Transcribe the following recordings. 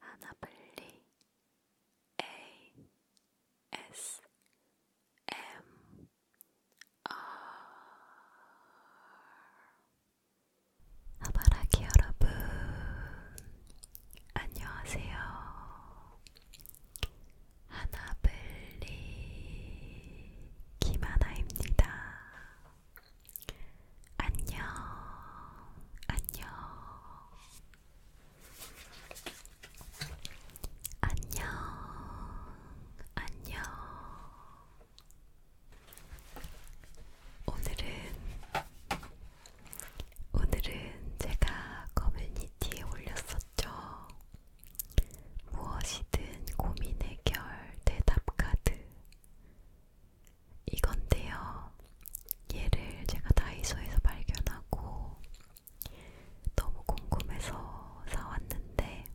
하나블리 A S M R 하바라기 여러분 안녕하세요. 하나블리 김하나입니다. 안녕, 안녕, 안녕, 안녕. 오늘은, 오늘은 제가 커뮤니티에 올렸었죠. 무엇이든 고민의 결 대답 카드 이건데요. 얘를 제가 다이소에서 발견하고 너무 궁금해서 사왔는데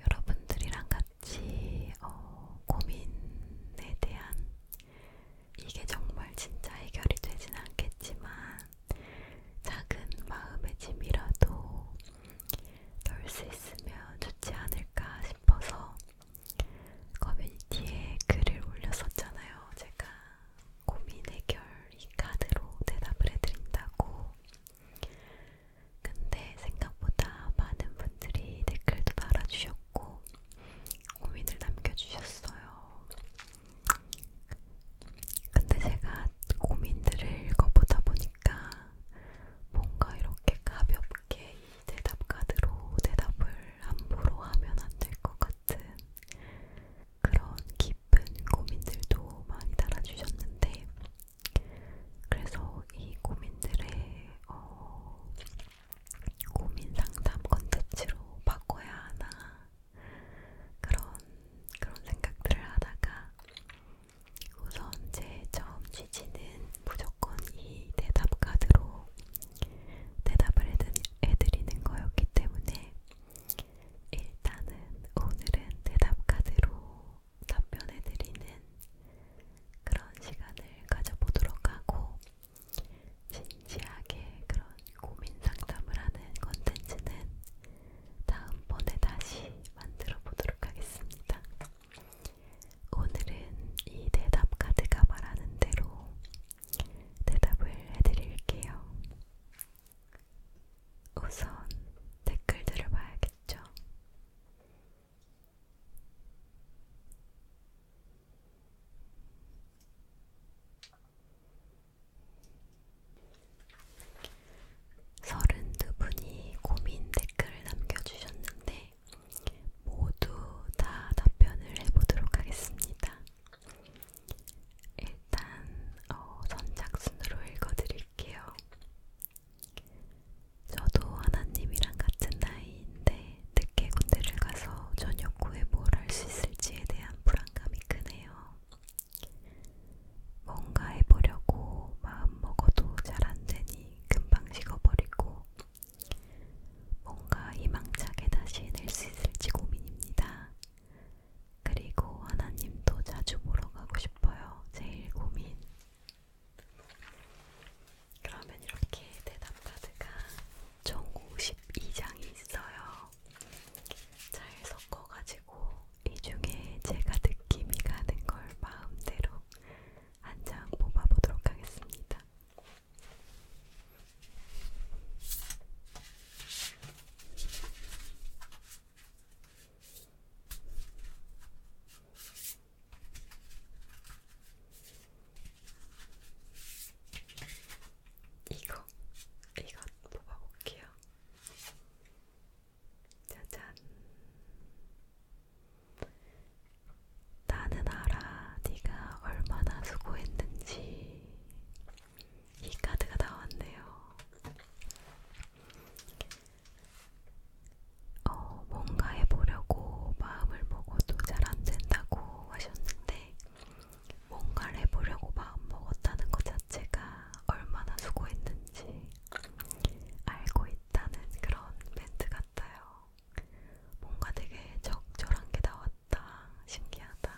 여러분들이랑 같이 어, 고민에 대한 이게 정말 진짜 해결이 되진 않겠지만 작은 마음의 짐이라도 놀수 있으면 좋지 않을까 싶어서 커뮤니티에 글을 올렸었잖아요. 제가 고민 해결 이 카드로 대답을 해드린다고. 근데 생각보다 많은 분들이 댓글도 달아주셨고 고민을 남겨주셨어요. 근데 제가 고민들을 읽어보다 보니까 보니까 뭔가 이렇게 가볍게 이 대답카드로 대답을 함부로 하면 안 될 것 같은 그런 깊은 고민들도 많이 달아주셨는데 그래서 이 고민들의 어, 고민 상담 컨텐츠로 바꿔야 하나 그런 그런 생각들을 하다가 우선 제 처음 취지는 무조건 이 대답카드로 대답을 해드리는 거였기 때문에 일단은 오늘은 대답카드로 답변해드리는 그런 시간을 가져보도록 하고 진지하게 그런 고민 상담을 하는 컨텐츠는 다음번에 다시 만들어 보도록 하겠습니다. 오늘은 이 대답 카드가 말하는 대로 대답을 해드릴게요. 우선 댓글들을 봐야겠죠. 서른두 분이 고민 댓글을 남겨주셨는데 모두 다 답변을 해보도록 하겠습니다. 일단 어, 선착순으로 읽어드릴게요. 저도 하나님이랑 같은 나이인데 늦게 군대를 가서 저녁 후에 뭘 할 수 있을지에 대한 불안감이 크네요. 뭔가 해보려고 마음먹어도 잘 안 되니 금방 식어버리고 뭔가 희망차게 다시 해낼 수 있을지 고민입니다. 그리고 하나님도 자주 보러 가고 싶어요. 제일 고민. 그러면 이렇게 대답 카드가 총 52장이 있어요. 잘 섞어가지고 이 중에 제가 느낌이 가는 걸 마음대로 한 장 뽑아보도록 하겠습니다. 이거, 이거 뽑아볼게요. 짜잔. 나는 알아, 네가 얼마나 수고했는지. 이 카드가 나왔네요. 어, 뭔가 해보려고 마음을 먹어도 잘 안 된다고 하셨는데, 뭔가를 해보려고 마음 먹었다는 것 자체가 얼마나 수고했는지, 알고 있다는 그런 멘트 같아요. 뭔가 되게 적절한 게 나왔다. 신기하다.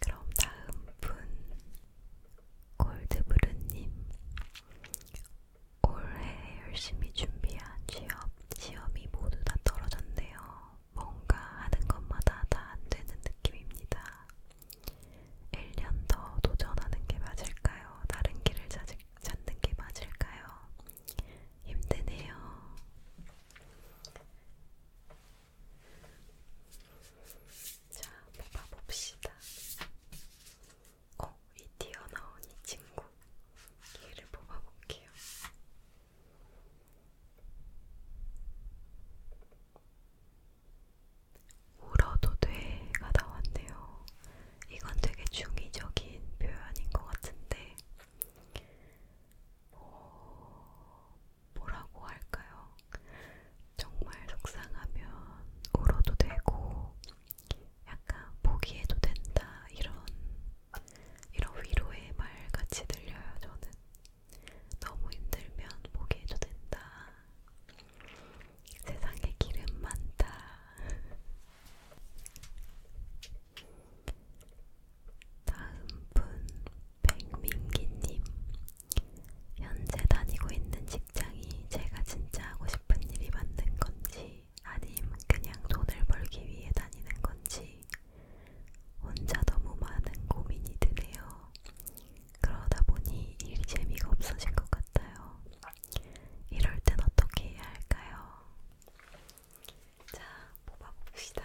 그럼 다음 분 골드브루님 올해 열심히 준비한 취업 시험이 모두 다 떨어졌네요. 뭔가 하는 것마다 다 안 되는 느낌입니다. 1년 더 도전하는 게 맞을까요? 다른 길을 찾는 게 맞을까요? 힘드네요. 자, 뽑아봅시다. 어, 이 튀어나온 이 친구. 얘를 뽑아볼게요. 울어도 돼가 나왔네요. 이건 되게 중의적인 표현인 것 같은데, 뭐, 뭐라고 할까요? 정말 속상하면 울어도 되고, 약간 포기해도 된다, 이런, 이런 위로의 말 같이 들려요, 저는. 너무 힘들면 포기해도 된다. 세상에 기름 많다. 다음 분 백민기님. 현재 다니고 있는 직장이 제가 진짜 하고 싶은 일이 맞는 건지, 아님 그냥 돈을 벌기 위해 다니는 건지, 혼자 너무 많은 고민이 드네요. 그러다 보니 일이 재미가 없어진 것 같아요. 이럴 땐 어떻게 해야 할까요? 자, 뽑아봅시다.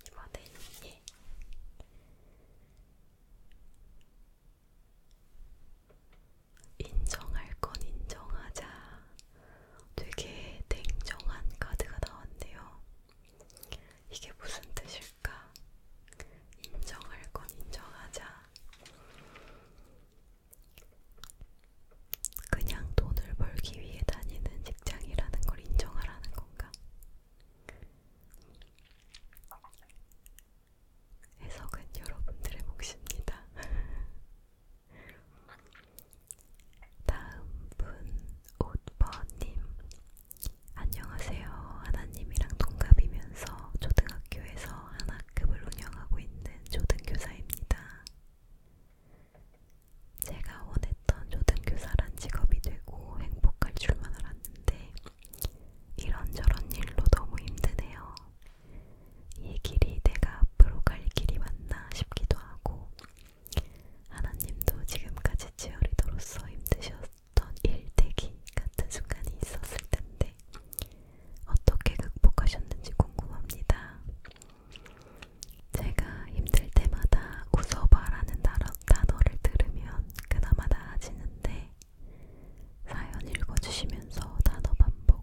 이번에는 예. 인정할 건 인정하자. 되게 냉정한 카드가 나왔네요. 이게 무슨 뜻일까? 인정할 건 인정하자. 그냥 돈을 벌기 위해 다니는 직장이라는 걸 인정하라는 건가? 해석은 여러분들의 몫입니다. 다음 분 오버님 안녕하세요. 하나님이랑 동갑이면서 초등학교에서 하나급을 운영하고 있는 초등교사입니다. 제가 원했던 초등교사란 직업이 되고 행복할 줄만 알았는데 이런저런 일로 너무 힘드네요. 이 길이 내가 앞으로 갈 길이 맞나 싶기도 하고 하나님도 지금까지 치어리더로서 힘드셨던 일대기 같은 순간이 있었을 텐데 어떻게 극복하셨는지 궁금합니다. 제가 힘들 때마다 웃어봐라는 단어를 들으면 그나마 나아지는데 사연 읽어주시면서 단어 반복,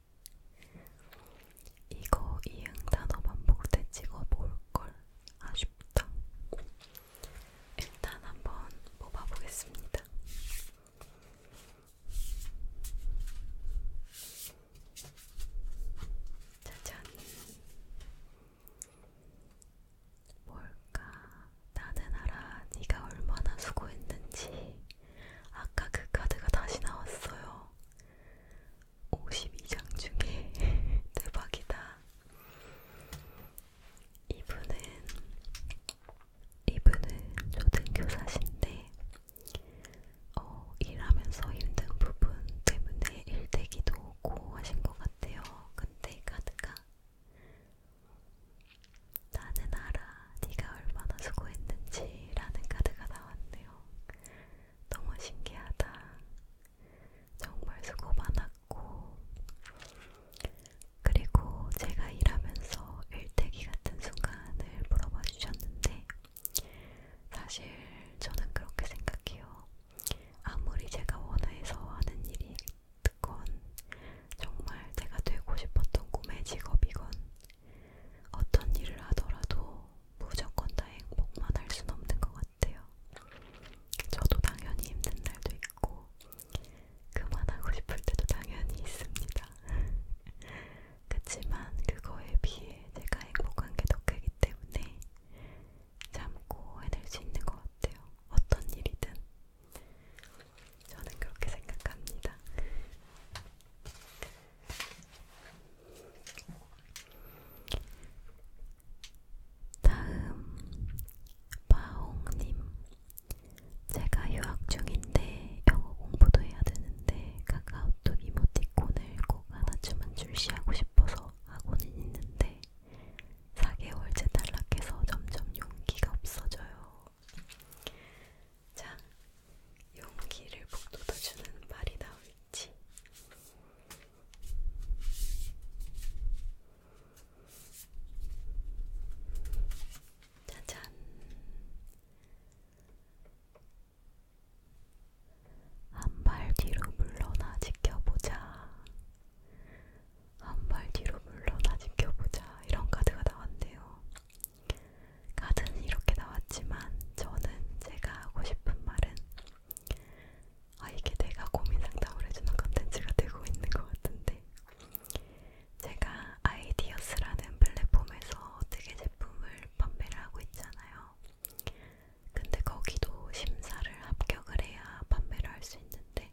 이거 이응 단어 반복 때 찍어 볼걸 아쉽다. 일단 한번 뽑아 보겠습니다. 짜잔. 뭘까? 나는 알아. 네가 얼마나 수고했는지. 아까 그 카드가 다시 나왔어요. 52장 중에 대박이다. 이분은 이분은 초등교사신데 어, 일하면서 힘든 부분 때문에 일대기도 오고 하신 것 같아요. 근데 카드가 나는 알아. 네가 얼마나 수고했는지라는 카드가 나왔네요. 너무 신기하다. 정말 수고 많았고, 그리고 제가 일하면서 일대기 같은 순간을 물어봐 주셨는데, 사실 저는 그렇게 생각해요. 아무리 제가 원해서 하는 일이건, 정말 제가 되고 싶었던 꿈의 직업이건, 어떤 일을 하더라도 무조건 다 행복만 할순 없는 것 같아요. 저도 당연히 힘든 날도 있고 그만하고 싶을 때도 당연히 있습니다. 그치만 그거에 비해 제가 행복한 게 더 크기 때문에 참고 해낼 수 있는 것 같아요. 어떤 일이든. 저는 그렇게 생각합니다. 다음 바홍님 제가 유학 중인데 영어 공부도 해야 되는데 카카오톡 이모티콘을 꼭 하나쯤은 출시하고 싶어서 하고는 있는데 4개월째 탈락해서 점점 용기가 없어져요. 자, 용기를 북돋아주는 말이 나올지. 짜잔. 한 발 뒤로 물러나 지켜보자. 한 발 뒤로 물러나 지켜보자. 이런 카드가 나왔네요. 카드는 이렇게 나왔지만 저는 제가 하고 싶은 말은 아 이게 내가 고민 상담을 해주는 컨텐츠가 되고 있는 것 같은데 제가 아이디어스라는 플랫폼에서 되게 제품을 판매를 하고 있잖아요. 근데 거기도 심사를 합격을 해야 판매를 할 수 있는데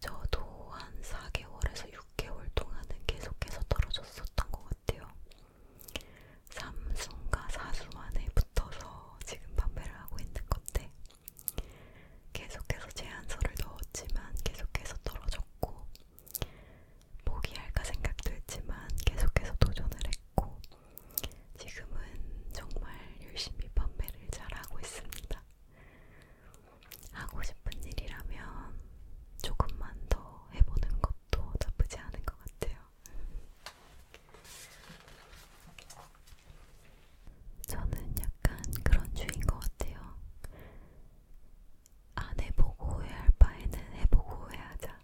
저도 한 4개월에서 6개월 동안은 계속해서 떨어졌었던 것 같아요. 삼순과 사수만에 붙어서 지금 판매를 하고 있는 건데 계속해서 제안서를 넣었지만 계속해서 떨어졌고 포기할까 생각도 했지만 계속해서 도전을 했고 지금은 정말 열심히 판매를 잘하고 있습니다. 하고 싶은 일이라면 조금만 더 해보는 것도 나쁘지 않은 것 같아요. 저는 약간 그런 주인 것 같아요. 안 해보고 후회할 바에는 해보고 후회하자.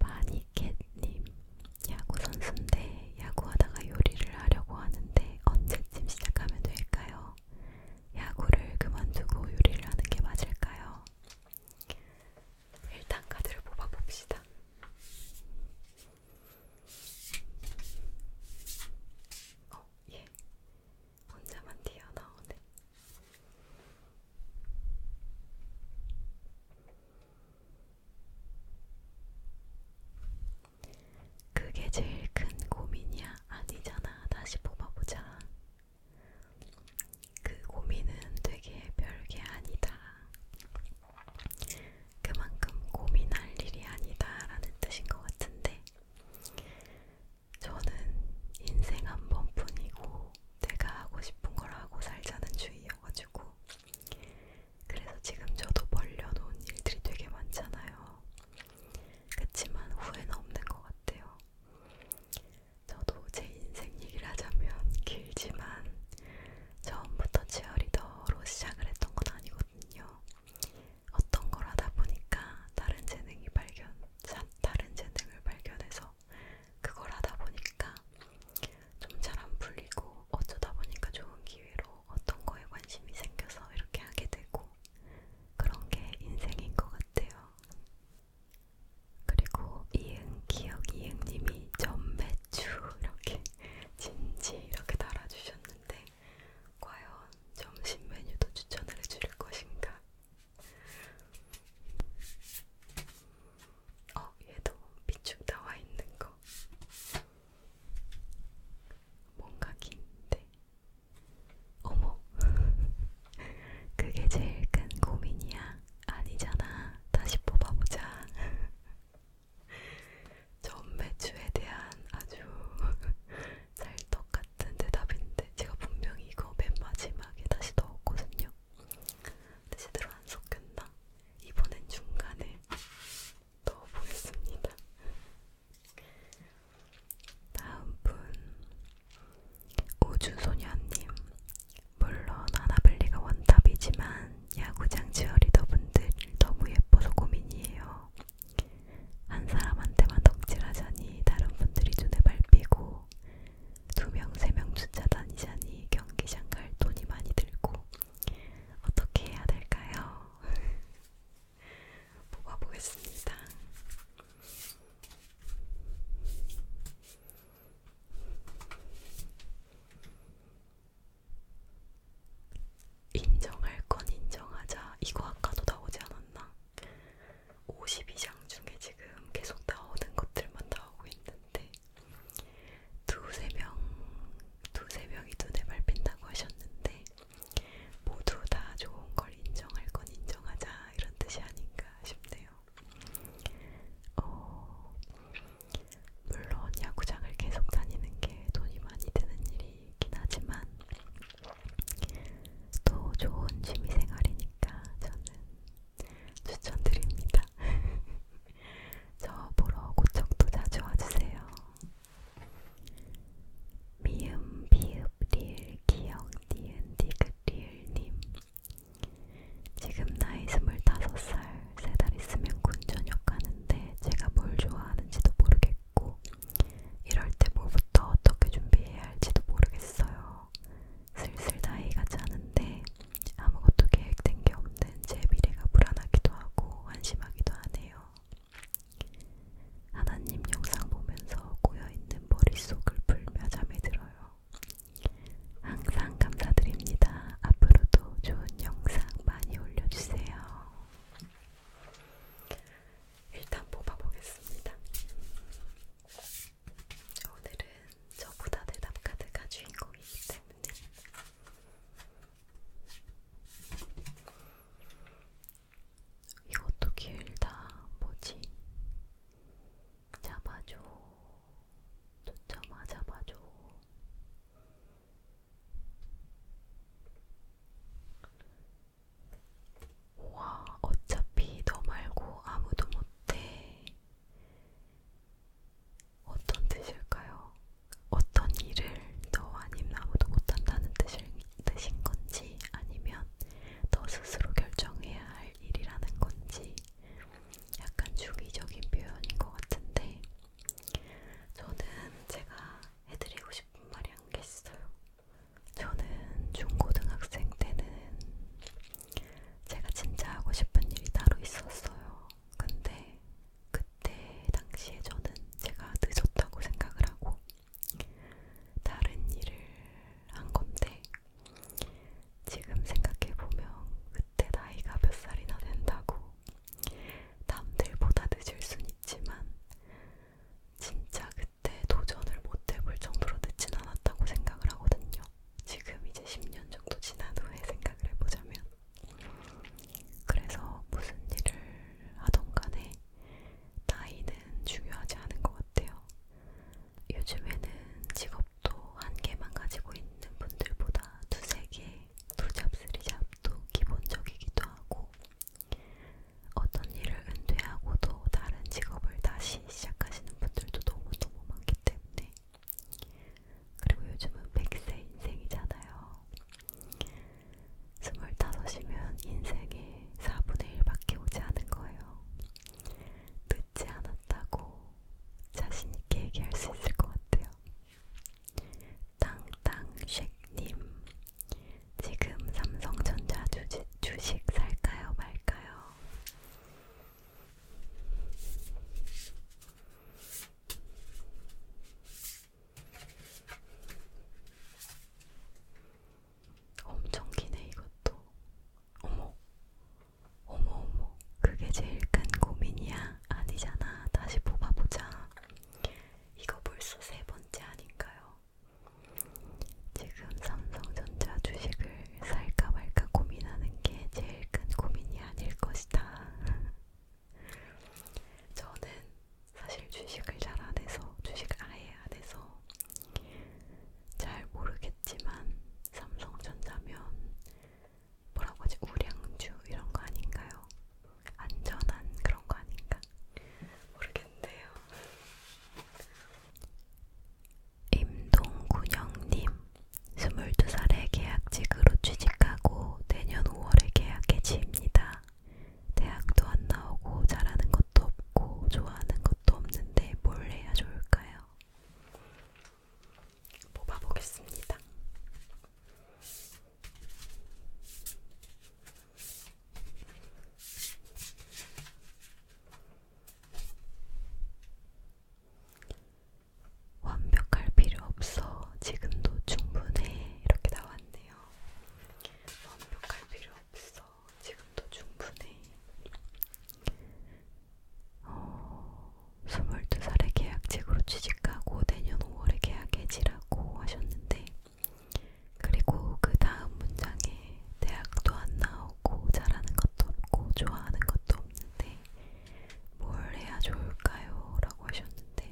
바니캣님 야구 선수인데 야구하다가 요리를 하려고 하는데 언제쯤 시작하면 될까요? 야구를 그만두고 요리를 하는 게 맞을까요? 일단 카드를 뽑아봅시다. 어, 예. 혼자만 튀어나오네. 그게 제일 큰 고민이야? 아니잖아. 다시 뽑아보자. 그 고민은 되게 별게 아니다. 그만큼 고민할 일이 아니다라는 뜻인 것 같은데, 저는 인생 한 번뿐이고, 내가 하고 싶은 걸 하고 살자는 주의여가지고, 그래서 지금 저도 벌려놓은 일들이 되게 많잖아요. 그치만 후회는 없는 것 같아요. 저도 제 인생 얘기를 하자면 길지만 처음부터 치어리더로 시작을 했던 건 아니거든요. 어떤 걸 하다 보니까 다른 재능이 발견, 다른 재능을 발견해서 그걸 하다 보니까 좀 잘 안 풀리고 어쩌다 보니까 좋은 기회로 어떤 거에 관심이 생겨서 이렇게 하게 되고 그런 게 인생인 것 같아요. 그리고 이응 기억 이응님이 전매추 이렇게 진지 이렇게 달아주셨는데 과연 점심 메뉴도 추천을 해줄 것인가? 어 얘도 비축 나와 있는 거. 뭔가 긴데. 어머, 그게 제일 큰 고민이야. 아니잖아. 다시 뽑아보자. 전 매주에 대한 아주 찰떡 같은 대답인데 제가 분명히 이거 맨 마지막에 다시 넣었거든요. 근데 제대로 안 섞였나? 이번엔 중간에 넣어보겠습니다. 다음 분 우주소녀님 물론 아나벨리가 원탑이지만 야구장 지어리더 분들 너무 예뻐서 고민이에요. 한 사람한테만 덕질하자니 다른 분들이 눈에 밟히고 두 명, 세명 주차 다니자니 경기장 갈 돈이 많이 들고 어떻게 해야 될까요? 뽑아보겠습니다. 인정할 건 인정하자. 이거 아까도 나오지 않았나? 52장 중에 지금 계속 나오는 것들만 나오고 있는데 두세 명 두세 명이 눈에 밟힌다고 하셨는데 모두 다 좋은 걸 인정할 건 인정하자 이런 뜻이 아닌가 싶네요. 어, 물론 야구장을 계속 다니는 게 돈이 많이 드는 일이긴 하지만 또 좋은 취미생활이니까 저는 추천드립니다. 저 보러 고척도 자주 와주세요. 미음 비읍 리을 기억 니은 디귿 리을님 지금 나이 25살 3달 있으면 군전역 가는데 제가 뭘 좋아하는지도 모르겠고 이럴 때 뭐부터 어떻게 준비해야 할지도 모르겠어요. 슬슬 나이가 차는데 아무것도 계획된 게 없는 제 미래가 불안하기도 하고 한심하기도 하네요. 하나님 영상 보면서 고여있는 머릿속을 풀며 잠에 들어요. 항상 감사드립니다. 앞으로도 좋은 영상 많이 올려주세요. 일단 뽑아보겠습니다. 오늘은 저보다 대답카드가 주인공이기 때문에 이것도 길다. 뭐지? 잡아줘. 쫓아마 잡아줘. 와, 어차피 너 말고 아무도 못해. 어떤 뜻일까요? 어떤 일을 너 아니면 아무도 못한다는 뜻인 건지 아니면 너 스스로 결정해야 할 일이라는 건지 약간 중의적인 표현인 것 같은데 저는 제가 해드리고 싶은 말이 한개 있어요. 저는 중고등학생 때는 제가 진짜 하고 싶은 일이 따로 있었어요. 근데 그때 당시에 저는 제가 늦었다고 생각을 하고 다른 일을 한 건데 지금 생각해보면 그때 나이가 몇 살이나 된다고 남들보다 늦을 순 있지만 진짜 그때 도전을 못 해볼 정도로 늦진 않았다고 생각을 하거든요. 지금 이제 10년 정도 지난 후에 생각을 해보자면 그래서 무슨 일을 하던 간에 나이는 중요하지 않은 것 같아요. 요즘에는 직업도 한 개만 가지고 있는 분들보다 두세 개, 두 잡, 쓰리 잡도 기본적이기도 하고, 어떤 일을 은퇴하고도 다른 직업을 다시 시작하시는 분들도 너무너무 많기 때문에, 그리고 요즘은 100세 인생이잖아요. 스물다섯이면 인생의 4분의 1밖에 오지 않은 거예요. 늦지 않았다고 자신있게 얘기할 수 있을 것 같아요. 땅땅쉑님, 지금 삼성전자 주지, 주식 살까요 말까요? 엄청 기네 이것도. 어머, 어머 어머, 그게 제일 큰 고민이야. 아니잖아. 다시 뽑아보자. 이거 벌써 세 번째 아닌가요? 지금 삼성전자 주식을 살까 말까 고민하는 게 제일 큰 고민이 아닐 것이다. 저는 사실 주식을 잘 안 해서, 주식 아예 안 해서 잘 모르겠지만 삼성전자면 뭐라고 하지? 우량주 이런 거 아닌가요? 안전한 그런 거 아닌가? 모르겠네요. 임동군영님, 22살에 계약직으로 취직하고 저도 내년 5월에 계약해지입니다. 대학도 안 나오고 잘하는 것도 없고 좋아하는 것도 없는데 뭘 해야 좋을까요? 뽑아보겠습니다. 완벽할 필요 없어. 지금도 충분해. 이렇게 나왔네요. 완벽할 필요 없어. 지금도 충분해. 어, 22살에 계약직으로 취직하고 내년 5월에 계약 해지라고 하셨는데, 그리고 그 다음 문장에 대학도 안 나오고 잘하는 것도 없고 좋아하는 것도 없는데 뭘 해야 좋을까요? 라고 하셨는데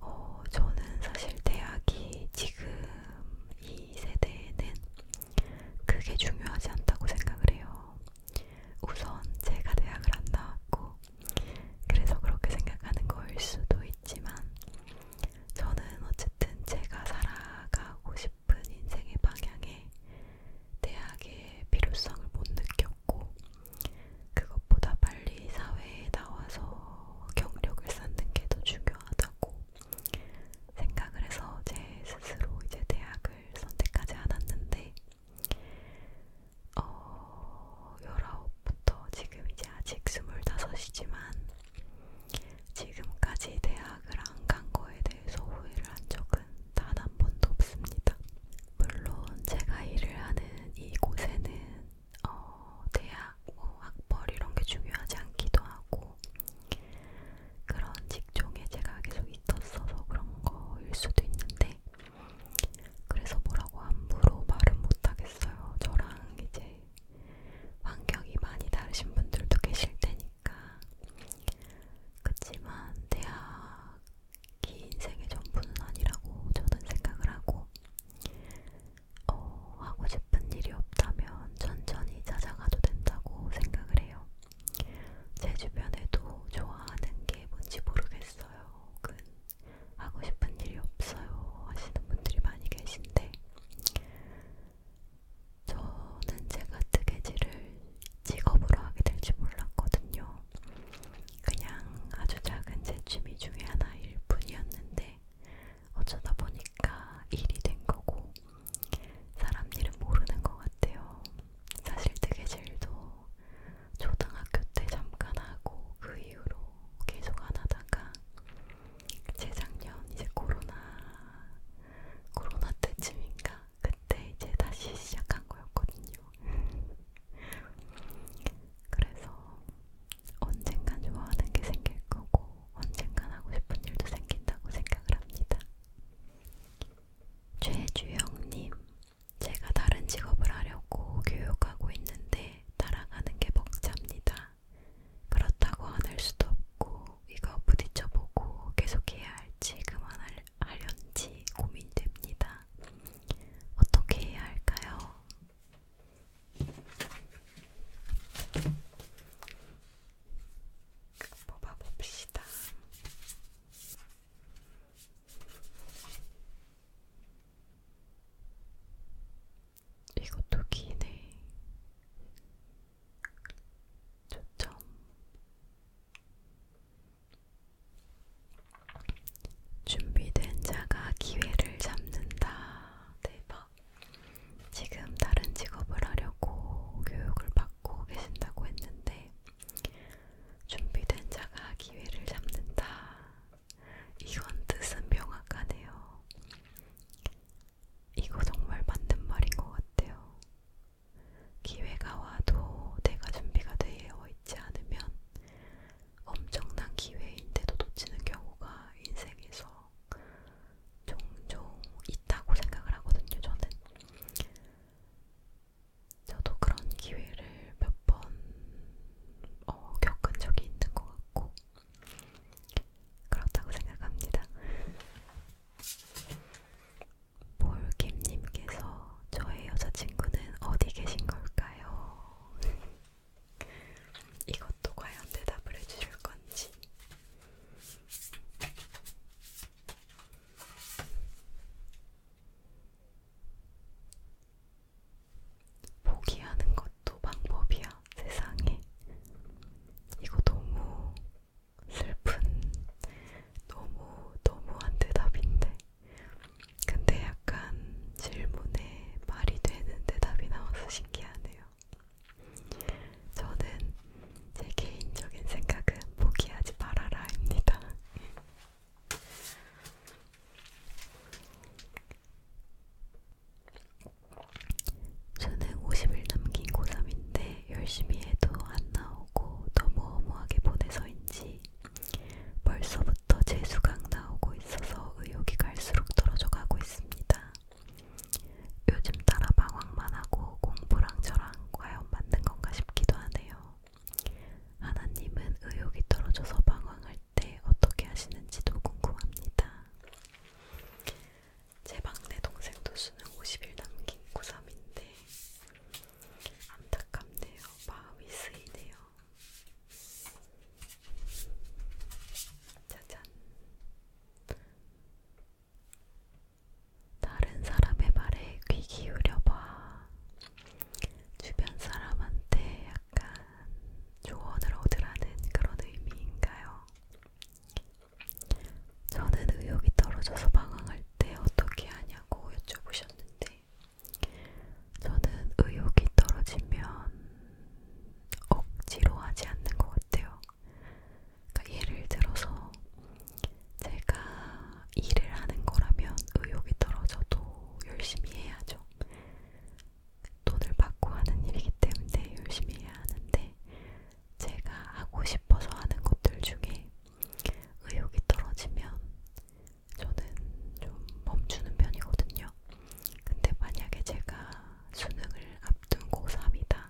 어, 저는 사실 대학이 지금 이 세대에는 그게 중요하지 않다고 생각을 해요. 우선 제가 대학을 안 나왔고, 그래서 그렇게 생각하는 거일 수도 있지만, 저는 어쨌든 제가 살아가고 싶은 인생의 방향에 대학의 필요성을 못 느꼈고, 그것보다 빨리 사회에 나와서 경력을 쌓는 게 더 중요하다고 생각을 해서 제 스스로 이제 대학을 선택하지 않았는데 어, 19부터 지금 이제 아직 25이지만 지금까지 대학을 안 간 거에 대해서 후회를 한 적은 단 한 번도 없습니다. 물론 제가 일을 하는 이곳에는 어, 대학, 뭐 학벌 이런 게 중요하지 않기도 하고 그런 직종에 제가 계속 있었어서 그런 거일 수도 있는데 그래서 뭐라고 함부로 말은 못하겠어요. 저랑 이제 환경이 많이 다르신 분들도 계실 테니까 그치만 대학 긴 인생의 전부는 아니라고 저는 생각을 하고 어, 하고 싶은 일이 없다면 천천히 찾아가도 된다고 생각을 해요. 제 주변에도 좋아하는 게 뭔지 모르겠어요. 혹은 하고 싶은 일이 없어요 하시는 분들이 많이 계신데 저는 제가 뜨개질을 직업으로 하게 될지 몰랐거든요. 그냥 아주 작은 제 취미 중에 하나일 뿐이었는데 어쩌다 보니까 일이 된 거고 사람 일은 모르는 것 같아요. 사실 뜨개질도 초등학교 때 잠깐 하고 그 이후로 계속 안 하다가 재작년 이제 코로나 코로나 때쯤인가 그때 이제 다시 시작한 거였거든요. 그래서 언젠간 좋아하는 게 생길 거고 언젠간 하고 싶은 일도 생긴다고 생각을 합니다. 최주영님, 제가 다른 직업을 하려고 교육하고 있는데 따라가는 게 벅찹니다. 그렇다고 안 할 수도 없고 이거 부딪혀보고 계속해야 할지 그만할래 하련지 고민됩니다. 어떻게 해야 할까요? 뽑아봅시다. 이것도 기네. 초점 준비된 자가 기회를 잡는다. 대박. 지금 다른 직업을 하려고 교육을 받고 계신다고 했는데, 준비된 자가 기회를 잡는다. 이건 뜻은 명확하네요. 이거 정말 맞는 말인 것 같아요. 기회가 와도 내가 준비가 되어 있지 않으면 엄청난 기회인데도 놓치는 경우가 인생에서 종종 있다고 생각을 하거든요, 저는. 저도 그런 기회를 몇번 어, 겪은 적이 있는 것 같고, 그렇다고 생각합니다. 볼김님께서 저의 여자친구는 어디 계신 걸까요? 이것도 과연 대답을 해주실 건지. 포기하는 것도 방법이야, 세상에. 이거 너무 슬픈, 너무, 너무한 대답인데. 근데 약간 질문에 말이 되는 대답이 나와서 신기하네요. 저는 제 개인적인 생각은 포기하지 말아라입니다. 저는 50일 남긴 고3인데 열심히 해도 안 나오고 너무 허무하게 보내서인지 벌써부터 재수강 나오고 있어서 의욕이 갈수록 떨어져 가고 있습니다. 요즘 따라 방황만 하고 공부랑 저랑 과연 맞는 건가 싶기도 하네요. 하나님은 의욕이 떨어져서 방황할 때 어떻게 하시는지도 궁금합니다. 제 막내 동생도 수능 50일 남긴 고3인데 안타깝네요. 마음이 쓰이네요. 짜잔. 다른 사람의 말에 귀 기울여봐. 주변 사람한테 약간 조언을 얻으라는 그런 의미인가요? 저는 의욕이 떨어져서 방황할 때 어떻게 하냐고 여쭤보셨는데, 저는 의욕이 떨어지면 억지로 하지 않는 것 같아요. 그러니까 예를 들어서 제가 일을 하는 거라면 의욕이 떨어져도 열심히 해야죠. 돈을 받고 하는 일이기 때문에 열심히 해야 하는데 제가 하고 싶어서 하는 것들 중에 의욕이 떨어지면 저는 좀 멈추는 편이거든요. 근데 만약에 제가 수능을 앞둔 고3이다.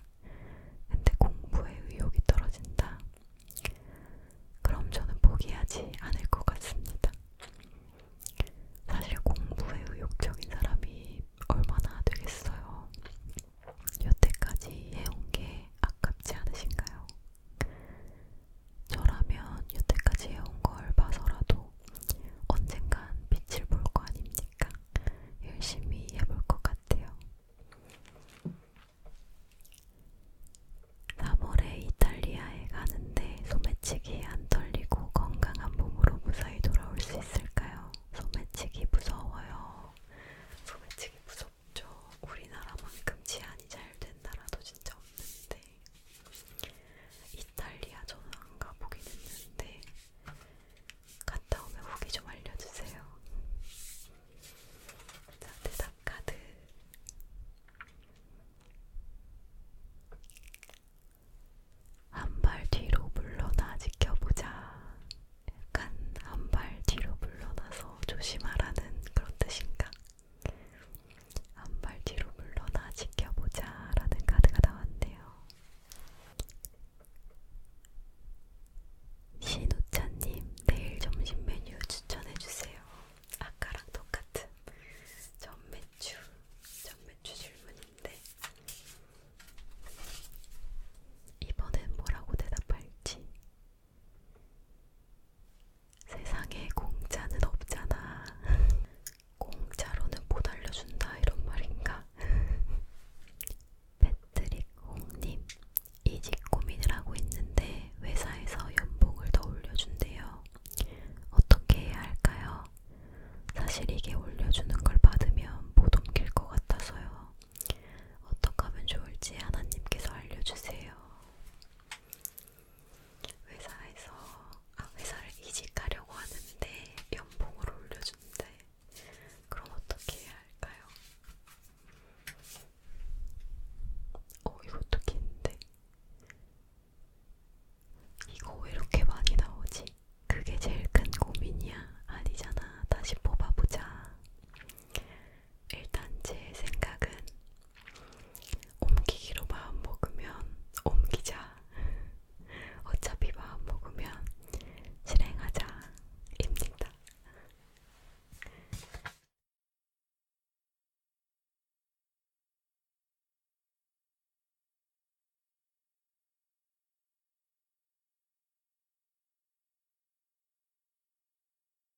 근데 공부에 의욕이 떨어진다. 그럼 저는 포기하지 않을 것 같습니다. 사실 공부에 의욕적인 사람이 얼마나 되겠어요. 여태까지 해온 게 아깝지 않으신가요? 저라면 여태까지 해온 걸 봐서라도 언젠간 빛을 볼 거 아닙니까? 열심히 해볼 것 같아요. 3월에 이탈리아에 가는데 소매치기 안 털리고 건강한 몸으로 무사히 돌아올 수 있을까요? 소매치기 무서워요. 소매치기 무섭 좋죠. 우리나라만큼 치안이 잘 된 나라도 진짜 없는데 이탈리아 저는 안 가보긴 했는데 갔다 오면 후기 좀 알려주세요. 자, 대답 카드. 한 발 뒤로 물러나 지켜보자. 약간 한 발 뒤로 물러나서 조심하라는 그런 뜻인가? 한발 뒤로 물러나 지켜보자 라는 카드가 나왔네요. 신우차님, 내일 점심 메뉴 추천해주세요. 아까랑 똑같은 전매추, 전매추 질문인데, 이번엔 뭐라고 대답할지 세상에 공짜는 없잖아. 공짜로는 못 알려준다 이런 말인가? 패트릭 홍님 이직 고민을 하고 있는데 회사에서 연봉을 더 올려준대요. 어떻게 해야 할까요? 사실 이게 올려주는 걸 받으면 못 옮길 것 같아서요. 어떻게 하면 좋을지 하나님께서 알려주세요. 회사에서 아 회사를 이직하려고 하는데 연봉을 올려준대. 그럼 어떻게 해야 할까요? 어 이거 어떻게 했는데? 이거 왜 이렇게 많이 나오지? 그게 제일 큰 고민이야. 아니잖아. 다시 뽑아보자. 일단 제 생각은 옮기기로 마음 먹으면 옮기자. 어차피 마음 먹으면 실행하자입니다.